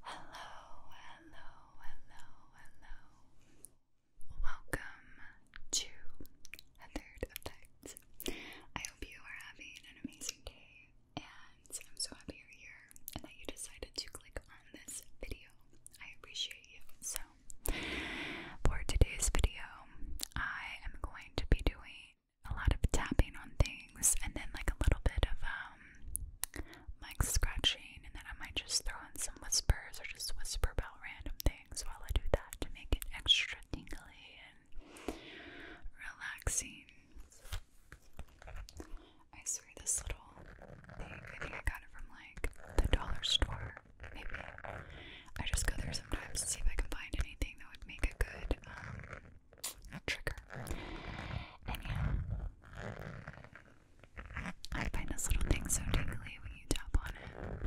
Hello, hello, hello, hello. Welcome to A Third Effect. I hope you are having an amazing day, and I'm so happy you're here and that you decided to click on this video. I appreciate you. So, for today's video, I am going to be doing a lot of tapping on things and then like a little bit of um like scratching and then I might just throw in some whispers or just whisper about random things while I do that to make it extra tingly and relaxing. I swear this little thing, I think I got it from like the dollar store, maybe. I just go there sometimes to see if I can find anything that would make a good um trigger. And yeah, I find this little thing so tingly when you tap on it.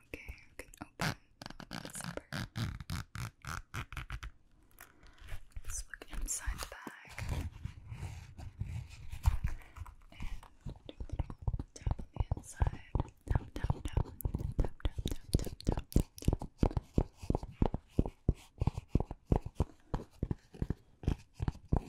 Okay, I can open the zipper. Let's look inside the bag. And do a little tap on the inside. Tap, tap, tap. Tap, tap, tap, tap, tap, tap, tap.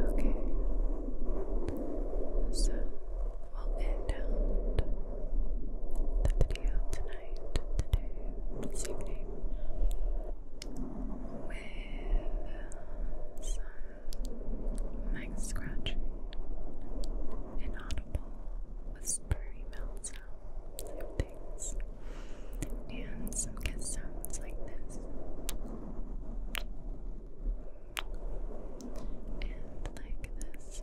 Okay, so we'll end the video tonight, today, this with some mic scratching, inaudible whispery mouth things and some kiss sounds like this. And like this.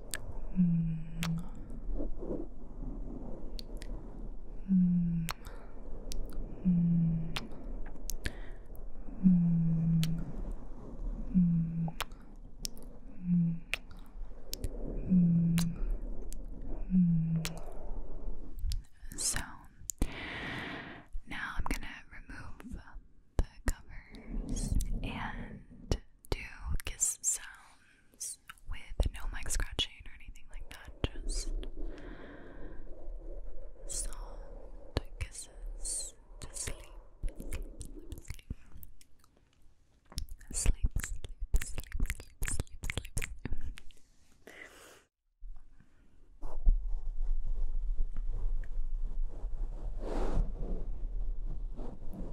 Mm. Mm. Mm. Mm. Mm. Mm. Mm. Mm. So now I'm going to remove the covers and do kiss sounds with no mic scratching or anything like that, just soft kisses to sleep, sleep, sleep, sleep. Sleep, sleep, sleep, sleep, sleep, sleep, sleep.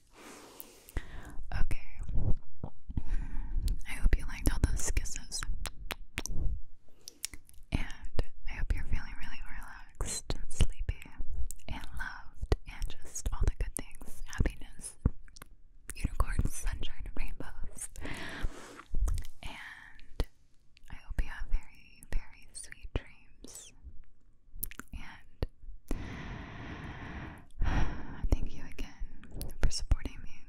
Okay. I hope you liked all those kisses. And I hope you're feeling really relaxed and sleepy and loved and just all the good things happiness, unicorns, sunshine, rainbows. And I hope you have very, very sweet dreams. And thank you again for supporting me.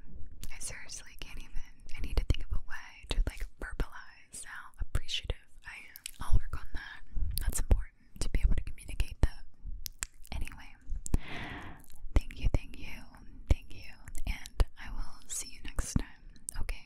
I seriously can't even, I need to think of a way to like verbalize how appreciative I am. I'll work on that. That's important to be able to communicate that. Anyway, thank you, thank you, thank you, and I will see you next time. Okay.